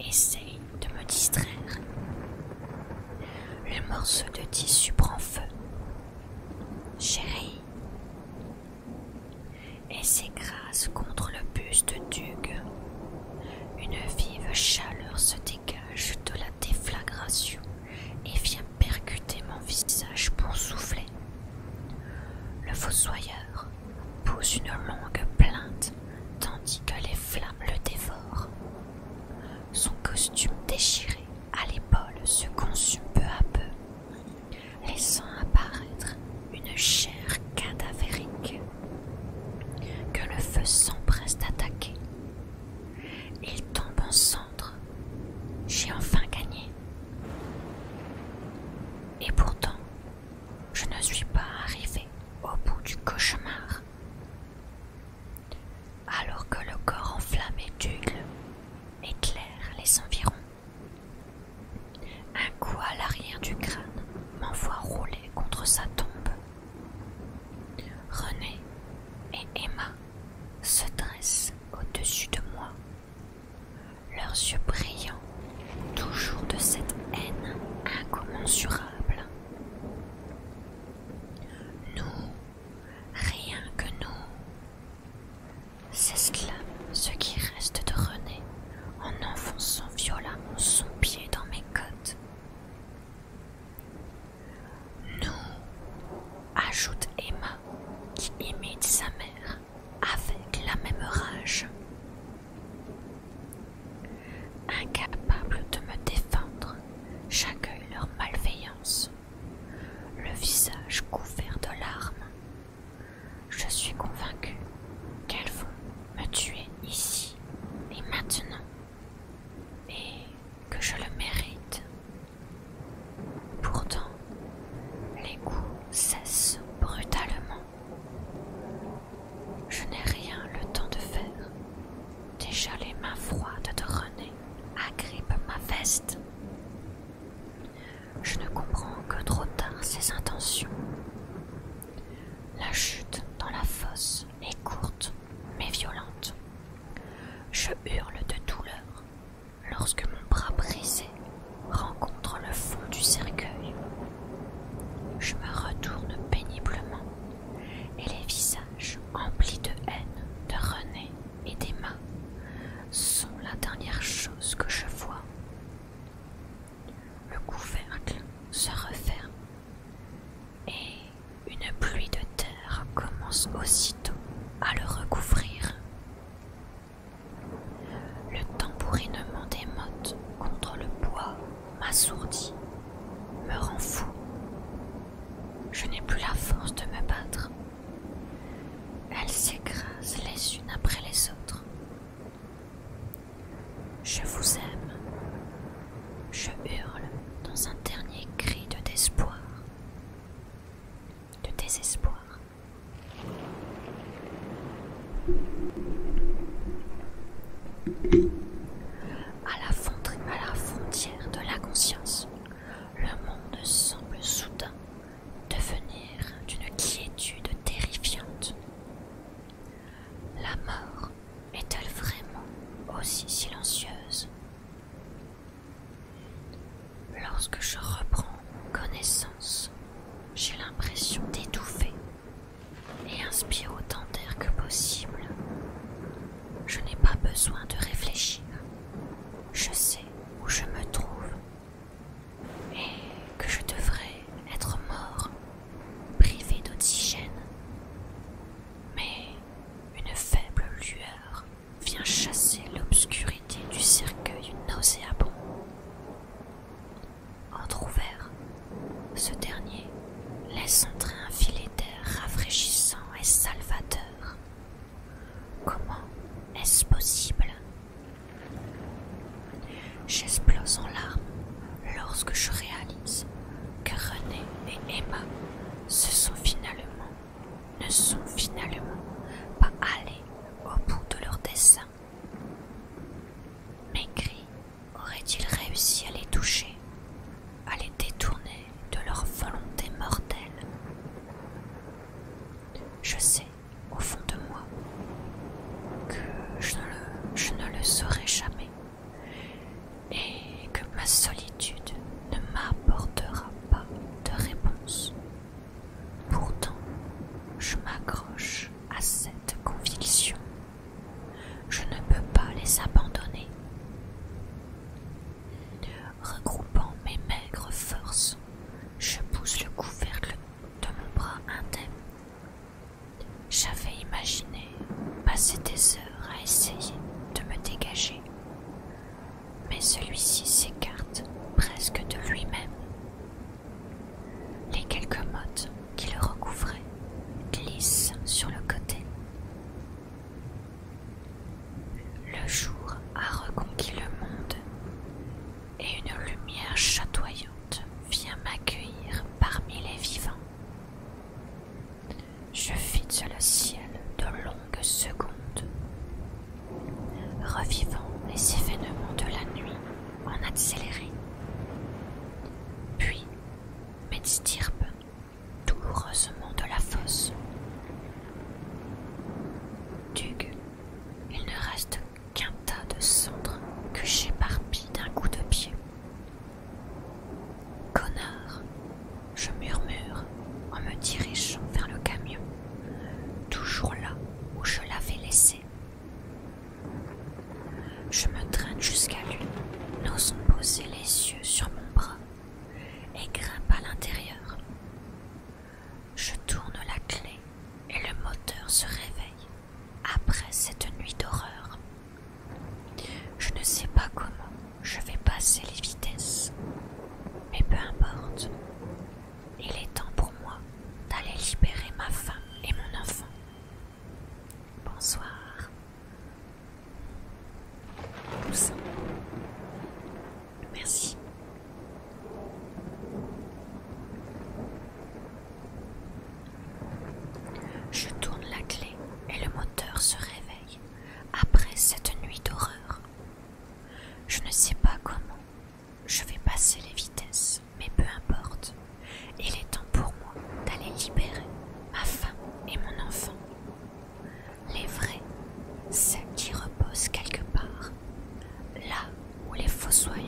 Essaye de me distraire. Le morceau de tissu prend feu. Chérie. Et s'écrase contre le buste d'Hugues. Une vive chaleur se dégage de la déflagration et vient percuter mon visage pour souffler. Le fossoyeur pousse une longue plainte tandis que les flammes le dévorent. Son costume déchiré à l'épaule se consume peu à peu, laissant apparaître une chair cadavérique que le feu s'empresse d'attaquer. Il tombe en cendres. J'ai enfin gagné. Et pourtant, je ne suis pas arrivé au bout du cauchemar. Alors que le corps enflammé d'Hugues éclaire les environs. Un coup à l'arrière du crâne m'envoie rouler contre sa tombe. René et Emma se dressent au-dessus de moi, leurs yeux brillants, toujours de cette haine incommensurable. Nous, rien que nous, cela ce qui reste de René en enfonçant violemment son pied dans mes côtes. Nous, ajoute Emma, qui imite sa mère avec la même rage. Incapables de me défendre, j'accueille leur malveillance, le visage couvert de larmes. Je suis convaincu qu'elles vont me tuer ici et maintenant, et que je le mérite. Pourtant, les coups cessent brutalement. Je n'ai rien le temps de faire. Déjà les mains froides de René agrippent ma veste. Je ne comprends que trop tard ses intentions. La chute dans la fosse est courte mais violente. Je hurle de douleur lorsque mon bras brisé rencontre le fond du cercueil. Je me retourne péniblement et les visages emplis de haine de René et d'Emma sont la dernière chose que je vois. Le couvercle se referme et une pluie de terre commence aussitôt à le recouvrir. Le tambourinement des mottes contre le bois m'assourdit, me rend fou. Je n'ai plus la force de me battre. Elles s'écrasent les unes après les autres. Je vous aime. Je hurle dans un dernier cri de désespoir. De désespoir à la, la frontière de la conscience, le monde semble soudain devenir d'une quiétude terrifiante. La mort est-elle vraiment aussi silencieuse Lorsque je reprends connaissance, j'ai l'impression d'étouffer et inspire autant d'air que possible. Je n'ai pas besoin de réfléchir. Je sais où je me trouve et que je devrais être mort, privé d'oxygène. Mais une faible lueur vient chasser l'obscurité du cercueil nauséabond. Entrouvert ce dernier laisse entrer un filet d'air rafraîchissant et salvateur. Comment est-ce possible J'explose en larmes lorsque je réalise que René et Emma se sont finalement, ne sont finalement pas allés au bout de leur dessein. Maigri ...auraient-ils réussi à les toucher, à les détourner de leur volonté mortelle Je sais, au fond de moi, que je ne le saurai jamais et que ma solitude ne m'apportera pas de réponse. Pourtant, je m'accroche à cette conviction je ne peux pas les abandonner. Regroupant mes maigres forces, je pousse le couvercle de mon bras indemne. J'avais imaginé passer des heures à essayer de me dégager, mais celui-ci s'écarte presque de lui-même. Les quelques mottes qui le recouvraient glisse sur le côté. Le jour a reconquis le monde et une lumière chatoyante vient m'accueillir parmi les vivants. Je fixe le ciel de longues secondes, revivant les événements de la nuit en accéléré. Puis stirpes douloureusement de la fosse. coup il ne reste qu'un tas de cendres que j'éparpille d'un coup de pied. Connard, je murmure en me dirigeant vers le camion, toujours là où je l'avais laissé je me traîne jusqu'à lui, n'osant poser les yeux sur mon bras, et grimpe à l'intérieur. Je tourne la clé et le moteur se réveille après cette nuit d'horreur. Je ne sais pas comment je vais passer les vitesses, mais peu importe. Il est temps pour moi d'aller libérer ma femme et mon enfant. Bonsoir. Merci. Je tourne la clé et le moteur se réveille après cette nuit d'horreur. Je ne sais pas comment je vais passer les vitesses, mais peu importe. Il est temps pour moi d'aller libérer ma femme et mon enfant. Les vrais, celles qui reposent quelque part, là où les fossoyeurs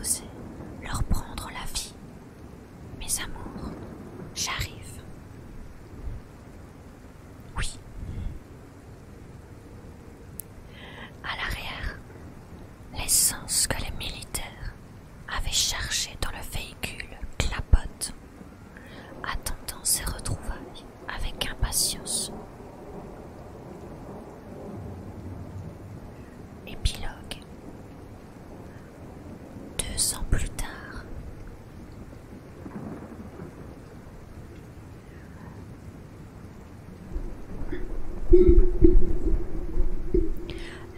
osaient leur prendre la vie. Mes amours, j'arrive. Oui. À l'arrière, l'essence que les militaires avaient chargée dans le véhicule clapote attendant ses retrouvailles avec impatience. Épilogue Deux ans plus tard,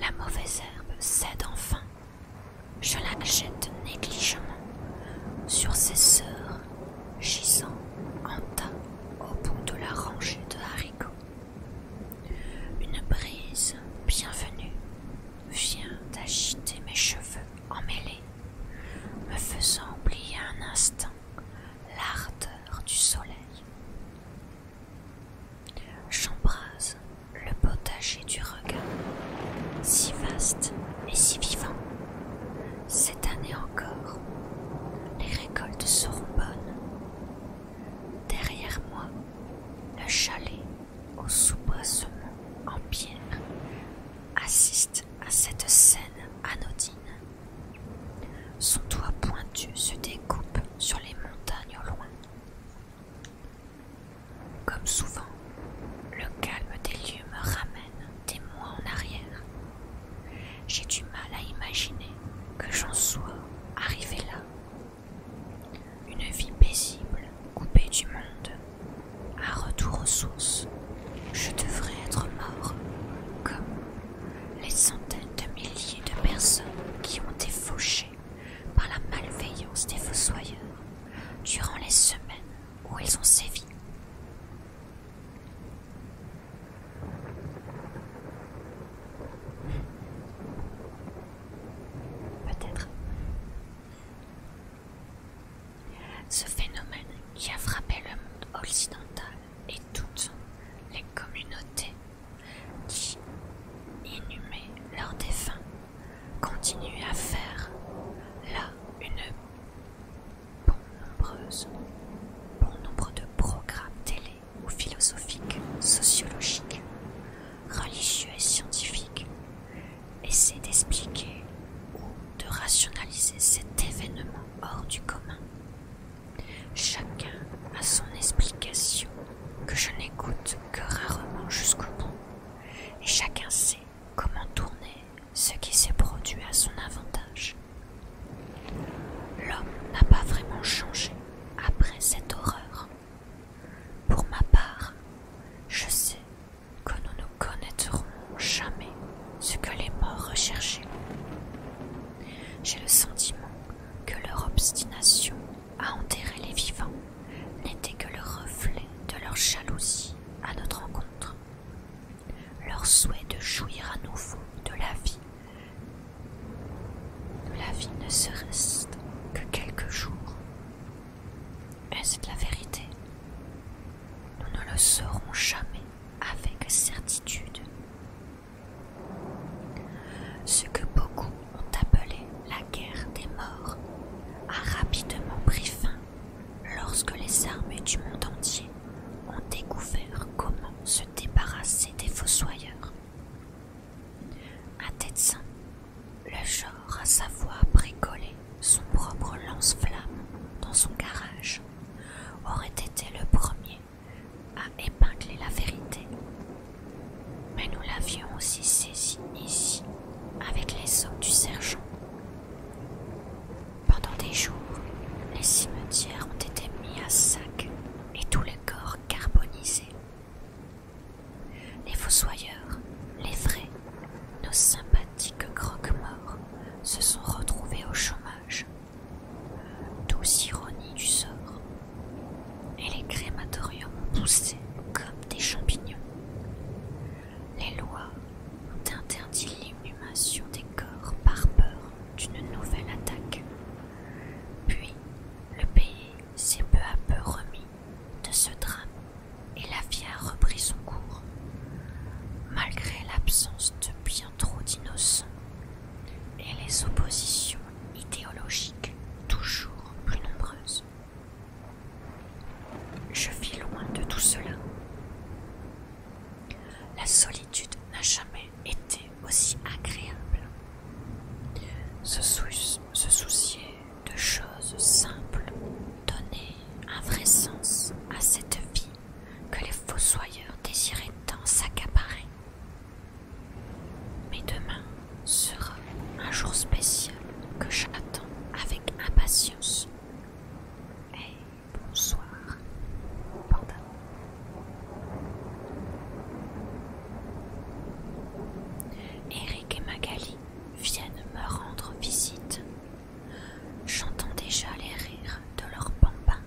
la mauvaise herbe cède enfin je la jette négligemment sur ses sœurs, gisant en tas au bout de la rangée de haricots. Une brise bienvenue vient d'agiter mes cheveux emmêlés, me faisant oublier un instant l'ardeur du soleil. J'embrase le potager du regard, si vaste et si vivant. Cette année encore, les récoltes seront bonnes. Derrière moi, le chalet au sous en pierre assiste à cette scène anodine. Son toit pointu se découpe sur les montagnes au loin. Comme souvent, le calme des lieux me ramène des mois en arrière. J'ai du mal à imaginer que j'en sois arrivé là. Une vie paisible, coupée du monde. à retour aux sources. Je devrais être mort, comme les centaines de milliers de personnes qui ont été fauchées par la malveillance des fossoyeurs durant les semaines où ils ont sévi. Peut-être. Ce phénomène qui a frappé le monde occidental et toutes les communautés qui inhumaient leurs défunts continue à faire là une bonne nombreuse, bon nombre de programmes télé ou philosophiques, sociologiques, religieux et scientifiques, essaient d'expliquer ou de rationaliser cet événement hors du commun. Chacun a son explication que je n'écoute que rarement jusqu'au bout et chacun sait comment tourner ce qui s'est produit à son avantage. L'homme n'a pas vraiment changé après cette horreur. Pour ma part, je sais que nous ne connaîtrons jamais ce que les morts recherchaient. J'ai le sentiment que leur obstination à enterrer les vivants n'était que le reflet de leur jalousie à notre rencontre leur souhait de jouir à nouveau de la vie. La vie ne serait reste que quelques jours. Est-ce la vérité Nous ne le saurons jamais avec certitude. Ce que beaucoup ont appelé la guerre des morts a rapidement pris fin lorsque les armées du monde entier ont découvert comment se débarrasser des fossoyeurs. Un saint, le genre à savoir bricoler son propre lance-flamme dans son garage, aurait été le premier à épingler la vérité mais nous l'avions aussi saisi ici avec les hommes du sergent. Pendant des jours, les cimetières ont été mis à sac et tous les corps carbonisés. Les fossoyeurs, les vrais, nos sympathiques croque-morts se sont retrouvés au chômage. Douce ironie du sort. Et les crématoriums ont poussé comme des champignons. Les lois ont interdit l'inhumation des corps par peur d'une nouvelle attaque. Puis, le pays s'est peu à peu remis de ce drame et la vie a repris son cours, malgré l'absence de bien trop d'innocents et les oppositions idéologiques toujours plus nombreuses. Je vis loin de tout cela. La solitude n'a jamais été aussi agréable. Se, se soucier de choses simples donnait un vrai sens à cette vie que les fossoyeurs désiraient tant s'accaparer. Mais demain, sera un jour spécial que j'attends avec impatience. Et bonsoir, Panda. Eric et Magali viennent me rendre visite. J'entends déjà les rires de leurs bambins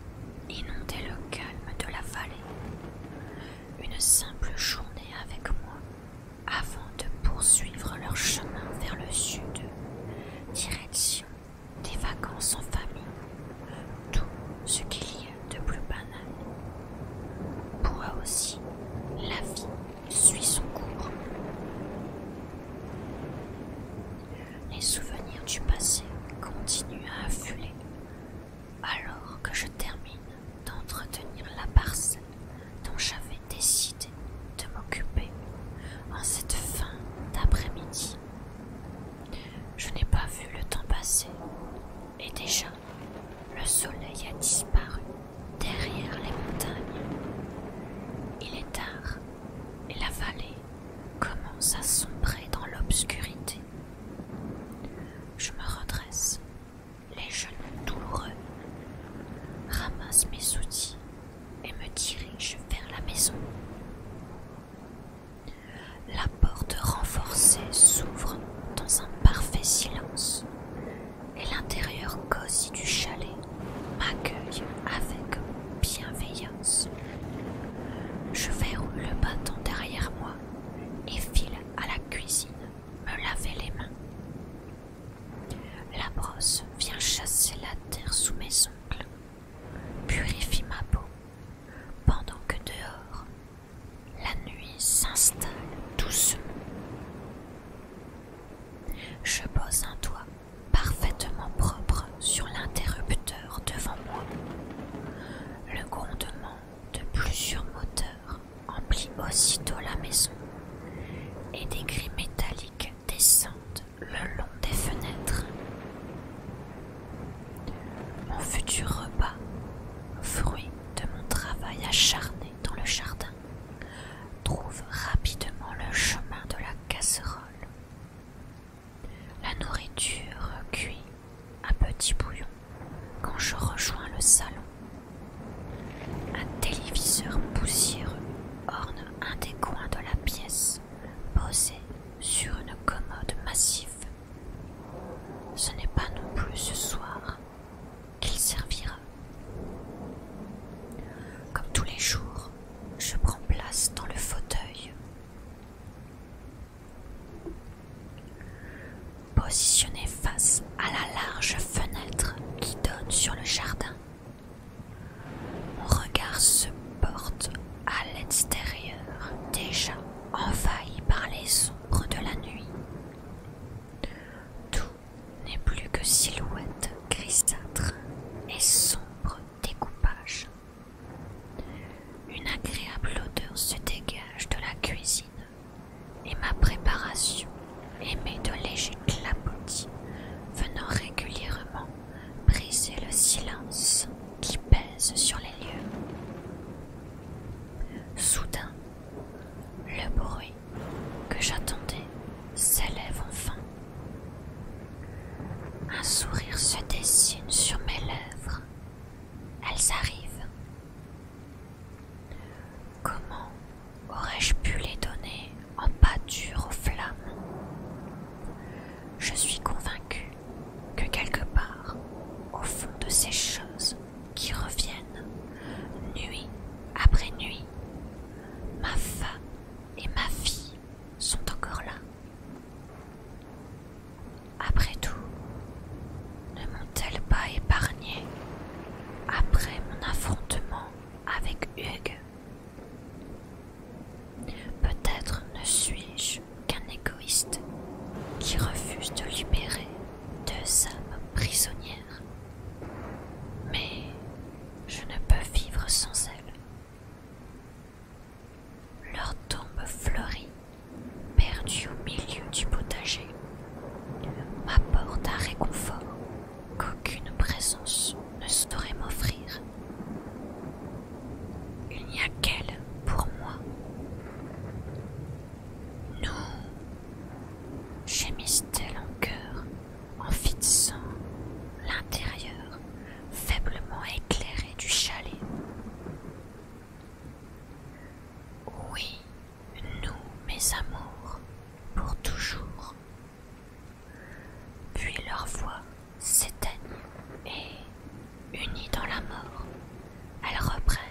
inonder le calme de la vallée. Une simple journée avec moi avant de poursuivre leur chemin vers le sud, direction des vacances en famille, tout ce qu'il y a de plus banal. Pour eux aussi, la vie suit son cours. Les souvenirs du passé continuent à affuler alors que je termine d'entretenir la parcelle dont j'avais décidé de m'occuper en cette fin d'après-midi. Je n'ai pas vu le temps passer et déjà le soleil a disparu derrière les montagnes. Il est tard et la vallée commence à sombrer dans l'obscurité. Je me redresse les genoux douloureux, ramasse mes outils et me dirige vers la maison. La porte renforcée s'ouvre dans un parfait silence et l'intérieur cosy du chalet m'accueille avec bienveillance. Je verrouille le bâton derrière moi et file à la cuisine me laver les mains. La brosse vient chasser la terre sous mes ongles, purifie ma peau, pendant que dehors, la nuit s'installe doucement. Je pose un doigt parfaitement propre sur l'interrupteur devant moi. Le grondement de plusieurs moteurs emplit aussitôt la maison, et des grilles métalliques descendent le long des fenêtres. Mon futur repas, fruit de mon travail acharné dans le jardin, trouve rapidement le chemin de la casserole. La nourriture cuit à petit bouillon quand je rejoins le salon un téléviseur poussiéreux orne un des coins de la pièce, posé sur une commode massive. Ce n'est pas non plus ce soir qu'il servira. Comme tous les jours, je prends place dans le fauteuil. Positionné face à la large fenêtre qui donne sur le jardin, mon regard se porte à l'extérieur, déjà envahi par les ombres de la nuit. Tout n'est plus que silhouette grisâtre et sombres découpage. Une agréable odeur se dégage de la cuisine et ma préparation émet de légers clapotis venant régulièrement briser le silence qui pèse sur les lieux. Soudain, le bruit que j'attendais s'élève enfin. Un sourire se dessine sur mes lèvres. Elles arrivent. Comment aurais-je pu les donner en pâture aux flammes Je suis convaincue que quelque part, au fond de ces choses qui reviennent, nuit après nuit, ma femme et ma fille sont encore là. Après tout, ne m'ont-elles pas épargné après mon affrontement avec Hugues. Peut-être ne suis-je qu'un égoïste qui refuse de libérer deux âmes prisonnières, mais je ne peux vivre sans elles. Leur tombe fleurie, perdue au milieu du potager, m'apporte un réconfort qu'aucune présence ne saurait m'offrir. Il n'y a qu'elle pour moi. Nous, j'ai en cœur en fixant l'intérieur faiblement éclairé du chalet. Oui, nous, mes amours, pour toujours, puis leur voix s'éteignent et, unies dans la mort, elles reprennent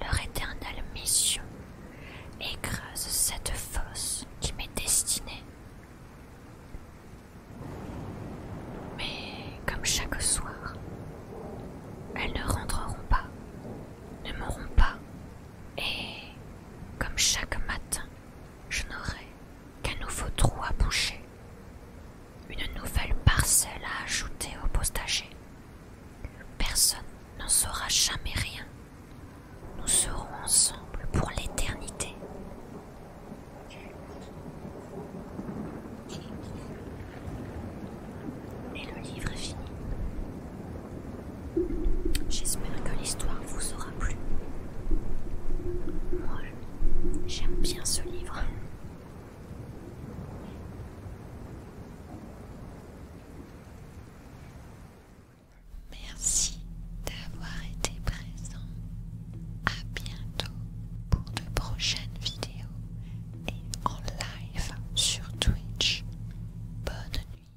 leur éternelle mission et creusent cette fosse qui m'est destinée. Mais comme chaque soir, elles ne rentreront pas, ne mourront pas, et, comme chaque matin, je n'aurai qu'un nouveau trou à boucher, une nouvelle parcelle à ajouter au postager. Personne n'en saura jamais rien. Nous serons ensemble pour l'éternité. Et le livre est fini. J'espère que l'histoire vous aura plu. Moi, j'aime bien ce livre. Merci d'avoir été présent. À bientôt pour de prochaines vidéos et en live sur Twitch. Bonne nuit.